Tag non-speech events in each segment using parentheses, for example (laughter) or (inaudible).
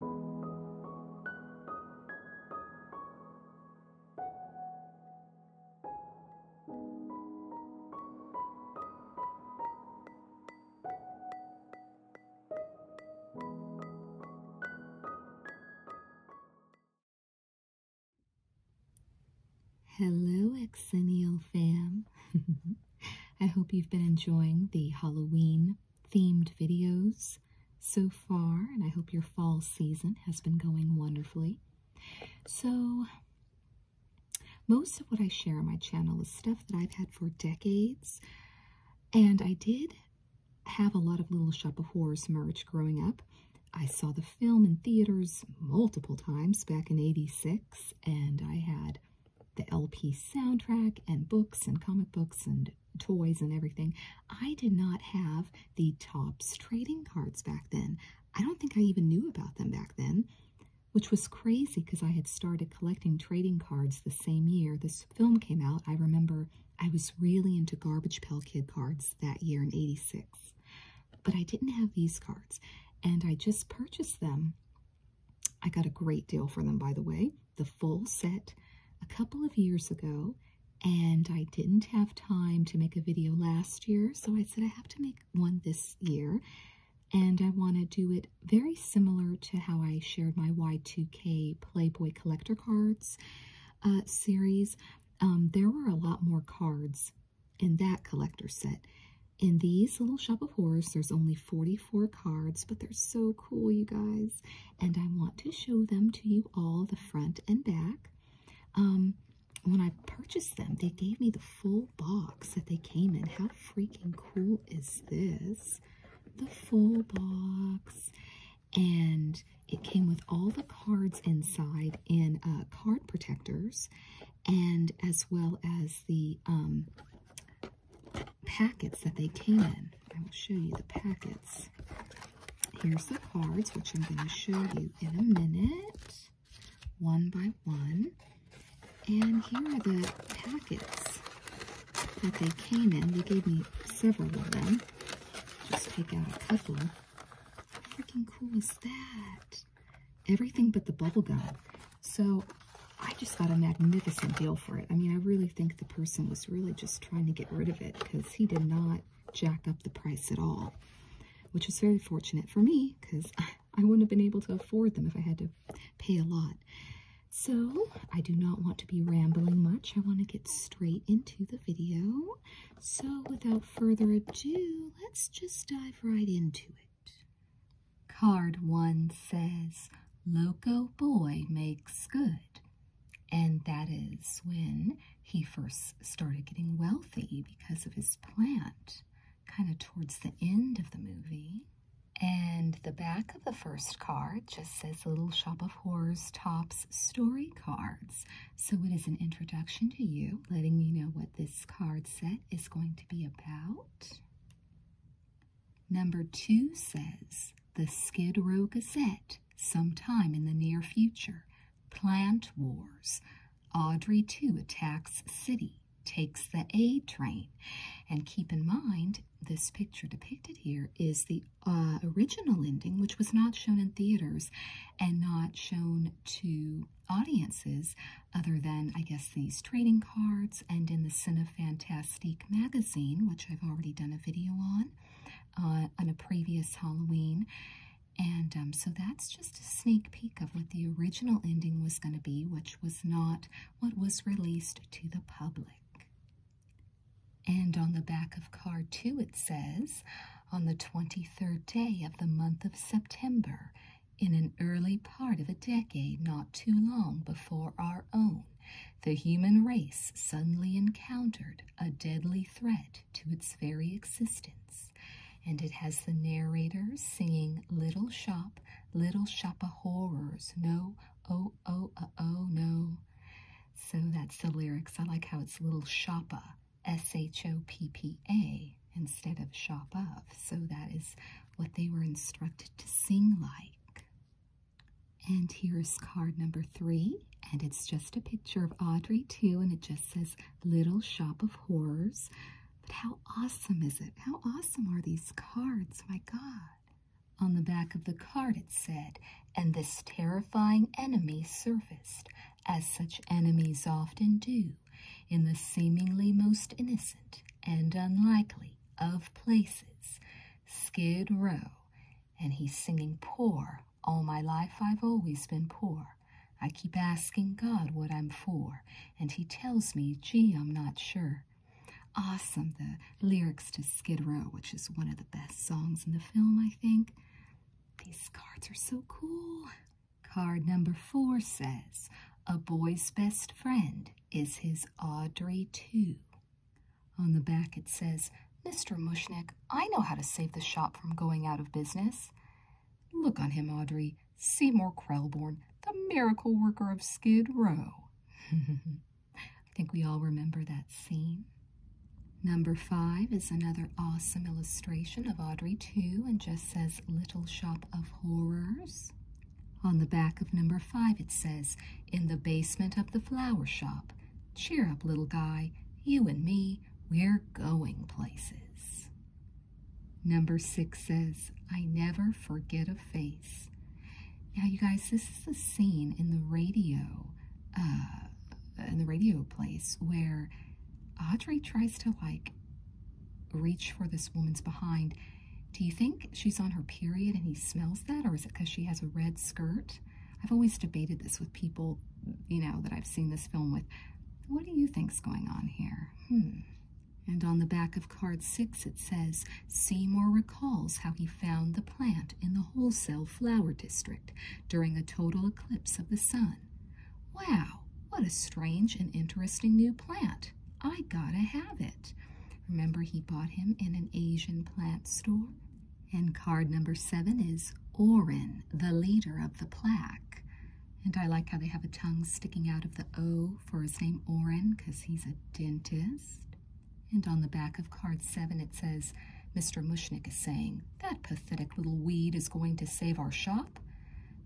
Hello, Exennial fam. (laughs) I hope you've been enjoying the Halloween themed videos so far, and I hope your fall season has been going wonderfully. So, most of what I share on my channel is stuff that I've had for decades, and I did have a lot of Little Shop of Horrors merch growing up. I saw the film in theaters multiple times back in 86, and I had the LP soundtrack and books and comic books and toys and everything. I did not have the Topps trading cards back then. I don't think I even knew about them back then, which was crazy because I had started collecting trading cards the same year this film came out. I remember I was really into Garbage Pail Kid cards that year in 86, but I didn't have these cards and I just purchased them I got a great deal for them, by the way, the full set a couple of years ago. And I didn't have time to make a video last year, so I said I have to make one this year. And I want to do it very similar to how I shared my Y2K Playboy Collector Cards uh, series. Um, there were a lot more cards in that collector set. In these little Shop of Horrors, there's only 40 Four cards, but they're so cool, you guys. And I want to show them to you all, the front and back. Um, when I purchased them, they gave me the full box that they came in. How freaking cool is this? The full box. And it came with all the cards inside in uh, card protectors and as well as the um, packets that they came in. I will show you the packets. Here's the cards, which I'm going to show you in a minute, one by one. And here are the packets that they came in. They gave me several of them. Just take out a couple. How freaking cool is that? Everything but the bubble gum. So I just got a magnificent deal for it. I mean, I really think the person was really just trying to get rid of it because he did not jack up the price at all, which was very fortunate for me because (laughs) I wouldn't have been able to afford them if I had to pay a lot. So I do not want to be rambling much. I want to get straight into the video. So without further ado, let's just dive right into it. Card 1 says, Loco Boy makes good. And that is when he first started getting wealthy because of his plant, kind of towards the end of the movie. And the back of the first card just says Little Shop of Horrors Tops Story Cards. So it is an introduction to you, letting you know what this card set is going to be about. Number two says the Skid Row Gazette, sometime in the near future. Plant wars. Audrey 2 attacks city, takes the A train. And keep in mind, this picture depicted here is the uh, original ending, which was not shown in theaters and not shown to audiences other than, I guess, these trading cards and in the Cinefantastique magazine, which I've already done a video on uh, on a previous Halloween. And um, so that's just a sneak peek of what the original ending was going to be, which was not what was released to the public. And on the back of card two, it says, on the 23rd day of the month of September, in an early part of a decade not too long before our own, the human race suddenly encountered a deadly threat to its very existence, and it has the narrator singing Little Shop, Little Shop of Horrors, no, oh, oh, uh, oh, no. So that's the lyrics. I like how it's Little Shoppa, S H O P P A, instead of Shop of. So that is what they were instructed to sing like. And here's card number three, and it's just a picture of Audrey, too, and it just says Little Shop of Horrors. But how awesome is it? How awesome are these cards? My God. On the back of the card it said, and this terrifying enemy surfaced, as such enemies often do, in the seemingly most innocent and unlikely of places, Skid Row. And he's singing poor. All my life I've always been poor. I keep asking God what I'm for, and he tells me, gee, I'm not sure. Awesome, the lyrics to Skid Row, which is one of the best songs in the film, I think. These cards are so cool. Card number four says, A boy's best friend is his Audrey, too. On the back it says, Mr. Mushnick, I know how to save the shop from going out of business. Look on him, Audrey, Seymour Krellborn, the miracle worker of Skid Row. (laughs) I think we all remember that scene. Number five is another awesome illustration of Audrey too, and just says Little Shop of Horrors. On the back of number five, it says, In the basement of the flower shop. Cheer up, little guy. You and me, we're going places. Number six says, I never forget a face. Now, you guys, this is the scene in the radio, uh, in the radio place where Audrey tries to like reach for this woman's behind. Do you think she's on her period and he smells that, or is it because she has a red skirt? I've always debated this with people, you know, that I've seen this film with. What do you think's going on here? Hmm. And on the back of card six, it says Seymour recalls how he found the plant in the wholesale flower district during a total eclipse of the sun. Wow, what a strange and interesting new plant. I gotta have it. Remember, he bought him in an Asian plant store? And card number seven is Oren, the leader of the plaque. And I like how they have a tongue sticking out of the O for his name Oren, 'cause he's a dentist. And on the back of card seven, it says, Mr. Mushnick is saying, that pathetic little weed is going to save our shop.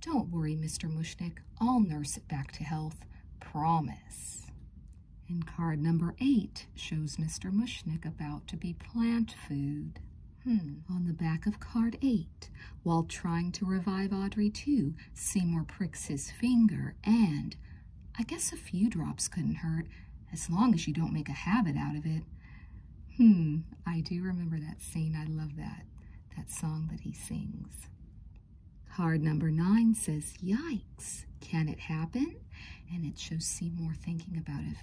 Don't worry, Mr. Mushnick. I'll nurse it back to health. Promise. And card number eight shows Mr. Mushnick about to be plant food. Hmm. On the back of card eight, while trying to revive Audrey too, Seymour pricks his finger and I guess a few drops couldn't hurt, as long as you don't make a habit out of it. Hmm, I do remember that scene. I love that that song that he sings. Card number nine says, Yikes, can it happen? And it shows Seymour thinking about if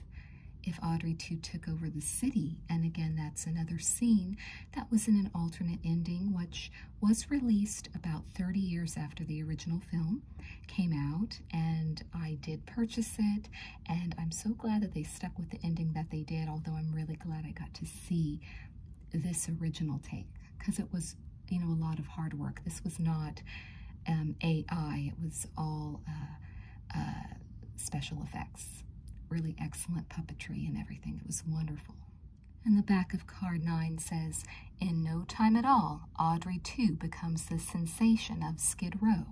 if Audrey too took over the city. And again, that's another scene that was in an alternate ending, which was released about 30 years after the original film came out. And I did purchase it, and I'm so glad that they stuck with the ending that they did, although I'm really glad I got to see this original take because it was, you know, a lot of hard work. This was not um, AI, it was all uh, uh, special effects. Really excellent puppetry and everything. It was wonderful. And the back of card 9 says, In no time at all, Audrey too becomes the sensation of Skid Row.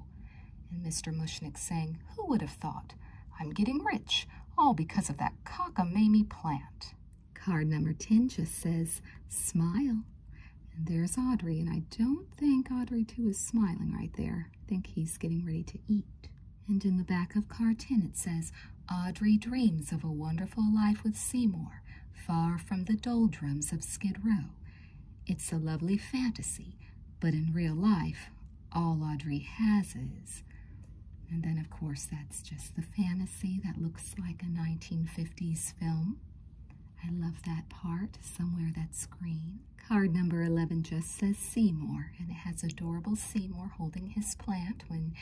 And Mr. Mushnick sang, Who would have thought? I'm getting rich, all because of that cockamamie plant. Card number 10 just says, Smile. And there's Audrey, and I don't think Audrey, too, is smiling right there. I think he's getting ready to eat. And in the back of card 10, it says, Audrey dreams of a wonderful life with Seymour, far from the doldrums of Skid Row. It's a lovely fantasy, but in real life, all Audrey has is. And then, of course, that's just the fantasy that looks like a 1950s film. I love that part, somewhere that screen. Card number 11 just says Seymour, and it has adorable Seymour holding his plant when,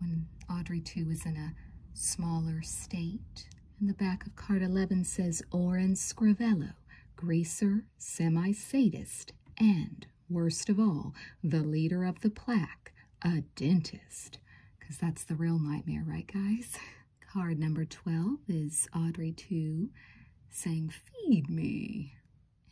when Audrey, too, is in a smaller state. And the back of card 11 says Oren Screvello, greaser, semi sadist, and worst of all, the leader of the plaque, a dentist. Because that's the real nightmare, right, guys? (laughs) Card number 12 is Audrey 2 saying, Feed me.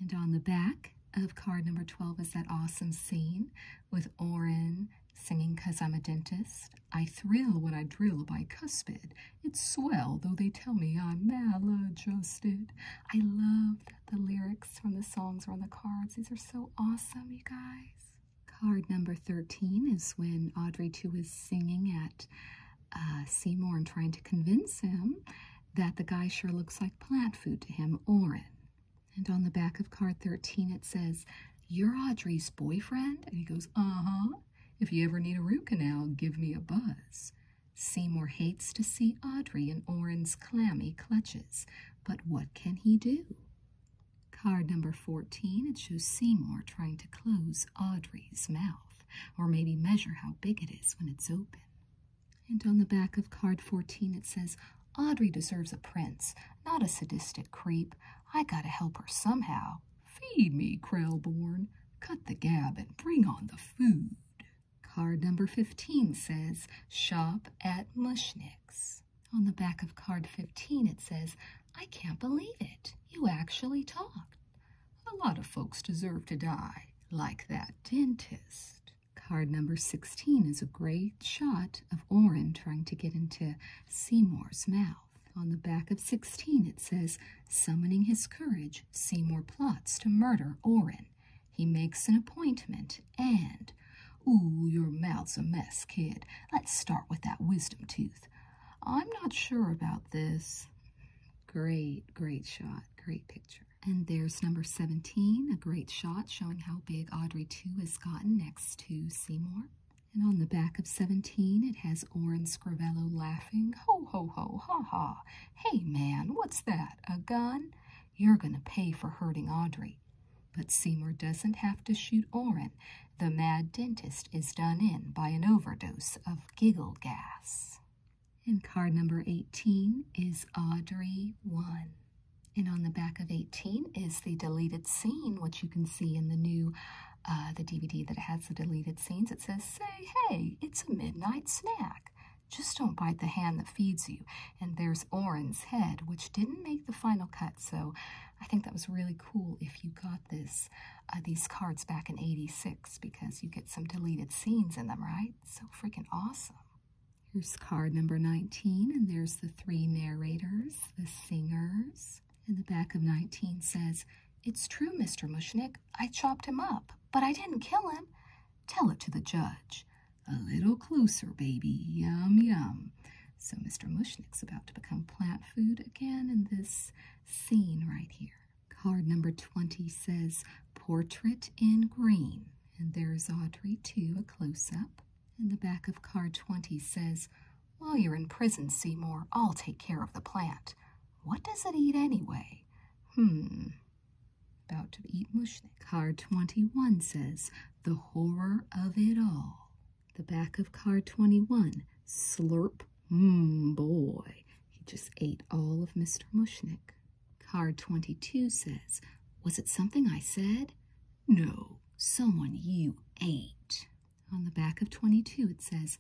And on the back of card number 12 is that awesome scene with Oren singing Cause I'm a Dentist. I thrill when I drill by cuspid it's swell, though they tell me I'm maladjusted. I love the lyrics from the songs are on the cards. These are so awesome, you guys. Card number 13 is when Audrey 2 is singing at uh, Seymour and trying to convince him that the guy sure looks like plant food to him, Oren. And on the back of card 13, it says, You're Audrey's boyfriend? And he goes, Uh huh. If you ever need a root canal, give me a buzz. Seymour hates to see Audrey in Orrin's clammy clutches, but what can he do? Card number 14, it shows Seymour trying to close Audrey's mouth, or maybe measure how big it is when it's open. And on the back of card 14, it says, Audrey deserves a prince, not a sadistic creep. I gotta help her somehow. Feed me, Krellborn. Cut the gab and bring on the food. Card number 15 says, Shop at Mushnick's. On the back of card 15, it says, I can't believe it. You actually talked. A lot of folks deserve to die, like that dentist. Card number 16 is a great shot of Orrin trying to get into Seymour's mouth. On the back of 16, it says, Summoning his courage, Seymour plots to murder Orrin. He makes an appointment and. Ooh, your mouth's a mess, kid. Let's start with that wisdom tooth. I'm not sure about this. Great, great shot. Great picture. And there's number 17, a great shot showing how big Audrey 2 has gotten next to Seymour. And on the back of 17, it has Orrin Scrivello laughing. Ho, ho, ho, ha, ha. Hey, man, what's that? A gun? You're going to pay for hurting Audrey. But Seymour doesn't have to shoot Orrin. The mad dentist is done in by an overdose of giggle gas. And card number 18 is Audrey 1. And on the back of 18 is the deleted scene, which you can see in the new uh, the DVD that has the deleted scenes, it says, say, hey, it's a midnight snack. Just don't bite the hand that feeds you. And there's Oren's head, which didn't make the final cut. So I think that was really cool if you got this, uh, these cards back in 86 because you get some deleted scenes in them, right? So freaking awesome. Here's card number 19, and there's the three narrators, the singers, in the back of 19 says, It's true, Mr. Mushnick. I chopped him up, but I didn't kill him. Tell it to the judge. A little closer, baby. Yum, yum. So Mr. Mushnick's about to become plant food again in this scene right here. Card number 20 says, Portrait in Green. And there's Audrey, too, a close-up. And the back of card 20 says, while you're in prison, Seymour, I'll take care of the plant. What does it eat anyway? Hmm. About to eat mushnik. Card 21 says, The horror of it all. The back of card 21, slurp, mmm, boy. He just ate all of Mr. Mushnik. Card 22 says, Was it something I said? No, someone you ate. On the back of 22, it says,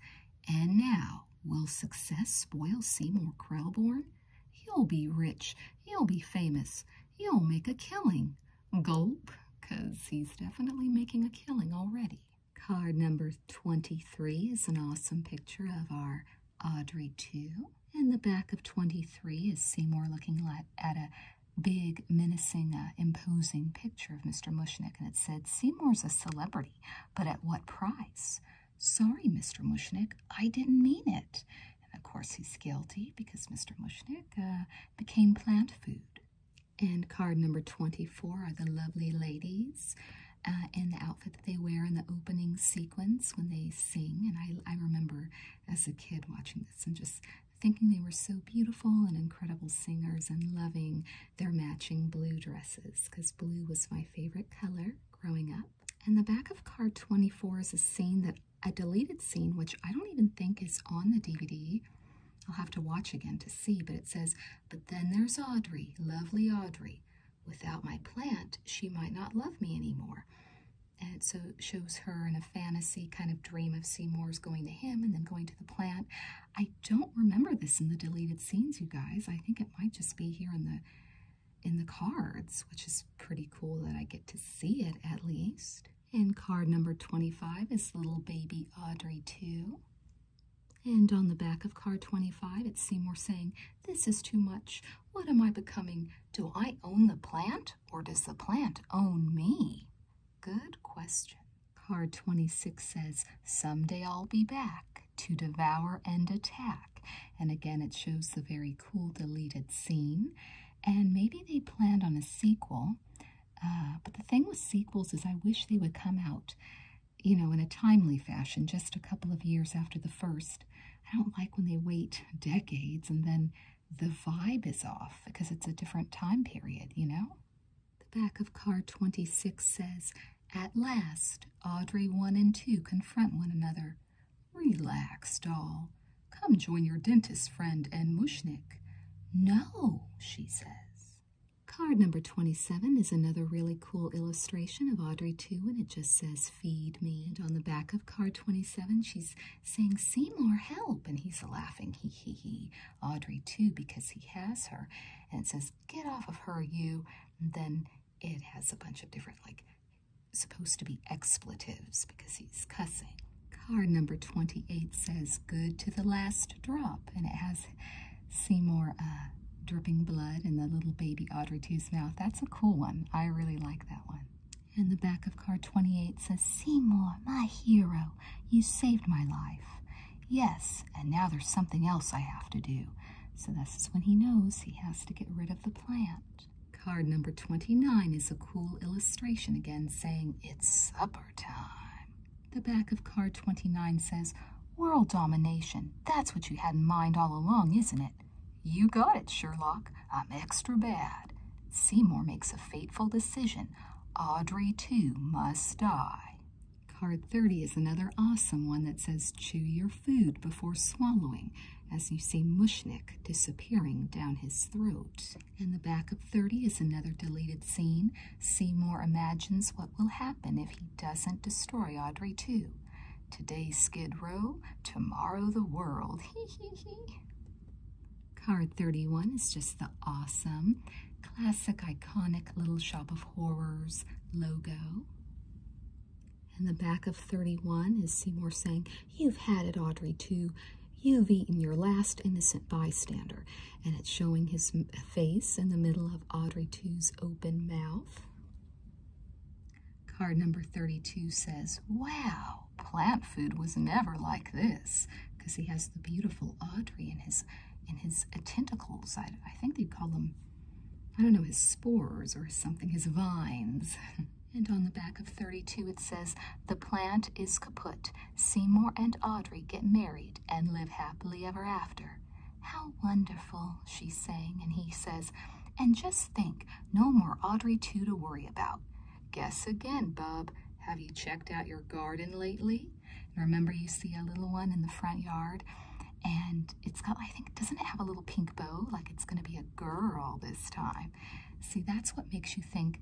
And now, will success spoil Seymour Krellborn? He'll be rich. He'll be famous. He'll make a killing. Gulp, 'cause he's definitely making a killing already. Card number 23 is an awesome picture of our Audrey too. And the back of 23 is Seymour looking at a big, menacing, uh, imposing picture of Mr. Mushnik, and it said, Seymour's a celebrity, but at what price? Sorry, Mr. Mushnik, I didn't mean it. And of course, he's guilty because Mr. Mushnik uh, became plant food. And card number 24 are the lovely ladies and uh, the outfit that they wear in the opening sequence when they sing. And I remember as a kid watching this and just thinking they were so beautiful and incredible singers and loving their matching blue dresses because blue was my favorite color growing up. And the back of card 24 is a scene that a deleted scene, which I don't even think is on the DVD. I'll have to watch again to see, but it says, But then there's Audrey, lovely Audrey. Without my plant, she might not love me anymore. And it so shows her in a fantasy kind of dream of Seymour's going to him and then going to the plant. I don't remember this in the deleted scenes, you guys. I think it might just be here in the in the cards, which is pretty cool that I get to see it at least. And card number 25 is little baby Audrey 2. And on the back of card 25, it's Seymour saying, This is too much. What am I becoming? Do I own the plant or does the plant own me? Good question. Card 26 says, Someday I'll be back to devour and attack. And again, it shows the very cool deleted scene. And maybe they planned on a sequel. Uh, but the thing with sequels is I wish they would come out, you know, in a timely fashion, just a couple of years after the first. I don't like when they wait decades and then the vibe is off because it's a different time period, you know? The back of card 26 says, At last, Audrey 1 and 2 confront one another. Relax, doll. Come join your dentist friend and Mushnik. No, she says. Card number 27 is another really cool illustration of Audrey 2, and it just says, Feed me. And on the back of card 27, she's saying, Seymour, help. And he's laughing, hee hee hee. Audrey too because he has her. And it says, Get off of her, you. then it has a bunch of different, like, supposed to be expletives because he's cussing. Card number 28 says, Good to the last drop. And it has Seymour uh, dripping blood in the little baby Audrey two's mouth. That's a cool one. I really like that one. And the back of card 28 says, Seymour, my hero, you saved my life. Yes, and now there's something else I have to do. So this is when he knows he has to get rid of the plant. Card number 29 is a cool illustration again saying, It's supper time. The back of card 29 says, World domination. That's what you had in mind all along, isn't it? You got it, Sherlock. I'm extra bad. Seymour makes a fateful decision Audrey, too, must die. Card 30 is another awesome one that says chew your food before swallowing, as you see Mushnik disappearing down his throat. And the back of 30 is another deleted scene. Seymour imagines what will happen if he doesn't destroy Audrey, too. Today Skid Row, tomorrow the world. (laughs) Hee hee hee. Card 31 is just the awesome, classic, iconic Little Shop of Horrors logo. And the back of 31 is Seymour saying, You've had it, Audrey, too. You've eaten your last innocent bystander. And it's showing his face in the middle of Audrey 2's open mouth. Card number 32 says, Wow plant food was never like this because he has the beautiful Audrey in his in his uh, tentacles. I, think they call them, I don't know, his spores or something, his vines. (laughs) and on the back of 32 it says, The plant is kaput. Seymour and Audrey get married and live happily ever after. How wonderful, she sang, and he says, And just think, no more Audrey 2 to worry about. Guess again, bub. Have you checked out your garden lately? remember, you see a little one in the front yard, and it's got, I think, doesn't it have a little pink bow? Like it's going to be a girl this time. See, that's what makes you think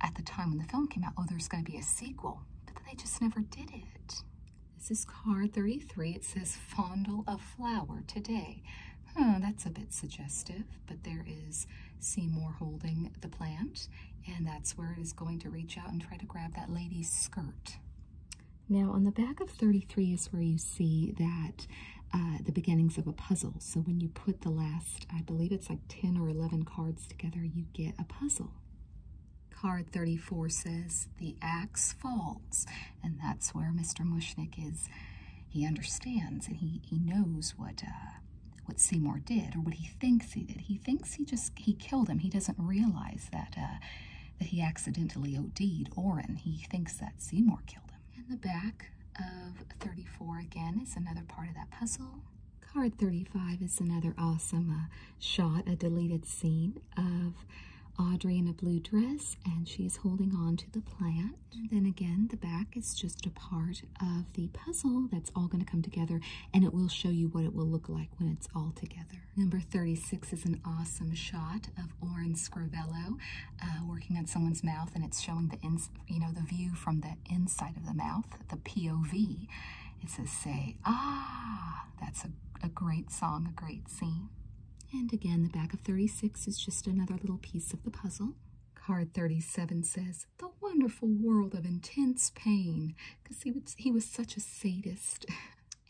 at the time when the film came out, oh, there's going to be a sequel. But they just never did it. This is card 33. It says Fondle a Flower Today. Hmm, that's a bit suggestive, but there is Seymour holding the plant, and that's where it is going to reach out and try to grab that lady's skirt. Now, on the back of 33 is where you see that uh, the beginnings of a puzzle. So when you put the last, I believe it's like 10 or 11 cards together, you get a puzzle. Card 34 says, the axe falls, and that's where Mr. Mushnick is. He understands and he, he knows what uh, what Seymour did or what he thinks he did. He thinks he just he killed him. He doesn't realize that uh, that he accidentally OD'd Oren. He thinks that Seymour killed him. And the back of 34 again is another part of that puzzle. Card 35 is another awesome uh, shot, a deleted scene of Audrey in a blue dress, and she's holding on to the plant then again, the back is just a part of the puzzle that's all going to come together and it will show you what it will look like when it's all together. Number 36 is an awesome shot of Oren Scrivello uh, working on someone's mouth and it's showing the ins you know the view from the inside of the mouth, the POV. It says say ah. That's a great song, a great scene. And again, the back of 36 is just another little piece of the puzzle. Card 37 says, The wonderful world of intense pain, because he, would, he was such a sadist. (laughs)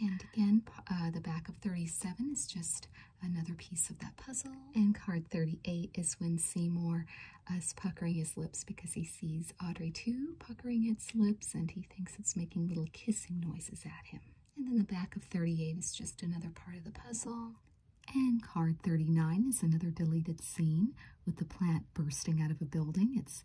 And again, uh, the back of 37 is just another piece of that puzzle. And card 38 is when Seymour uh, is puckering his lips because he sees Audrey too puckering its lips and he thinks it's making little kissing noises at him. And then the back of 38 is just another part of the puzzle. And card 39 is another deleted scene with the plant bursting out of a building. It's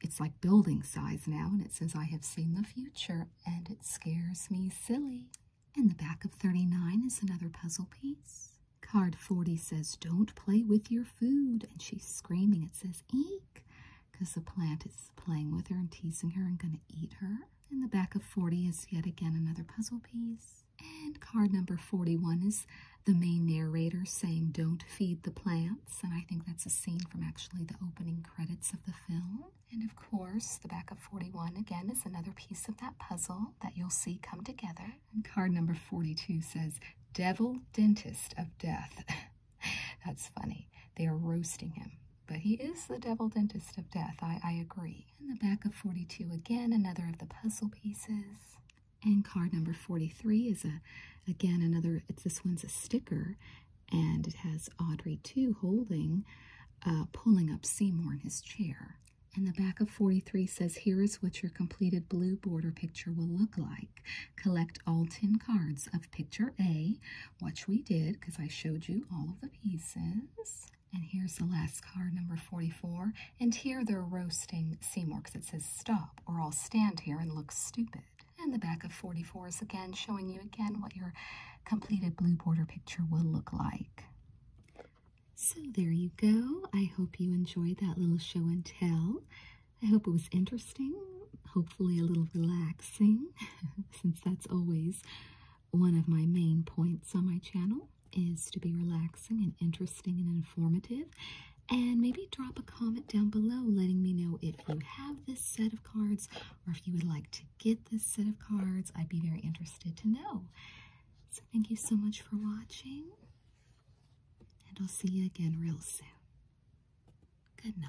it's like building size now, and it says, I have seen the future, and it scares me silly. And the back of 39 is another puzzle piece. Card 40 says, Don't play with your food. And she's screaming. It says, Eek, because the plant is playing with her and teasing her and going to eat her. And the back of 40 is yet again another puzzle piece. And card number 41 is the main narrator saying, Don't feed the plants. And I think that's a scene from actually the opening credits of the film. And of course, the back of 41 again is another piece of that puzzle that you'll see come together. And card number 42 says, Devil Dentist of Death. (laughs) that's funny. They are roasting him. But he is the devil dentist of death. I, I agree. In the back of 42 again, another of the puzzle pieces. And card number 43 is a again another it's this one's a sticker and it has Audrey too holding uh, pulling up Seymour in his chair. And the back of 43 says, Here is what your completed blue border picture will look like. Collect all 10 cards of picture A, which we did because I showed you all of the pieces. And here's the last card, number 44. And here they're roasting Seymour because it says stop, or I'll stand here and look stupid. And the back of 44 is again showing you again what your completed blue border picture will look like. So there you go. I hope you enjoyed that little show and tell. I hope it was interesting, hopefully a little relaxing, (laughs) since that's always one of my main points on my channel is to be relaxing and interesting and informative. And maybe drop a comment down below letting me know if you have this set of cards or if you would like to get this set of cards. I'd be very interested to know. So, thank you so much for watching, and I'll see you again real soon. Good night.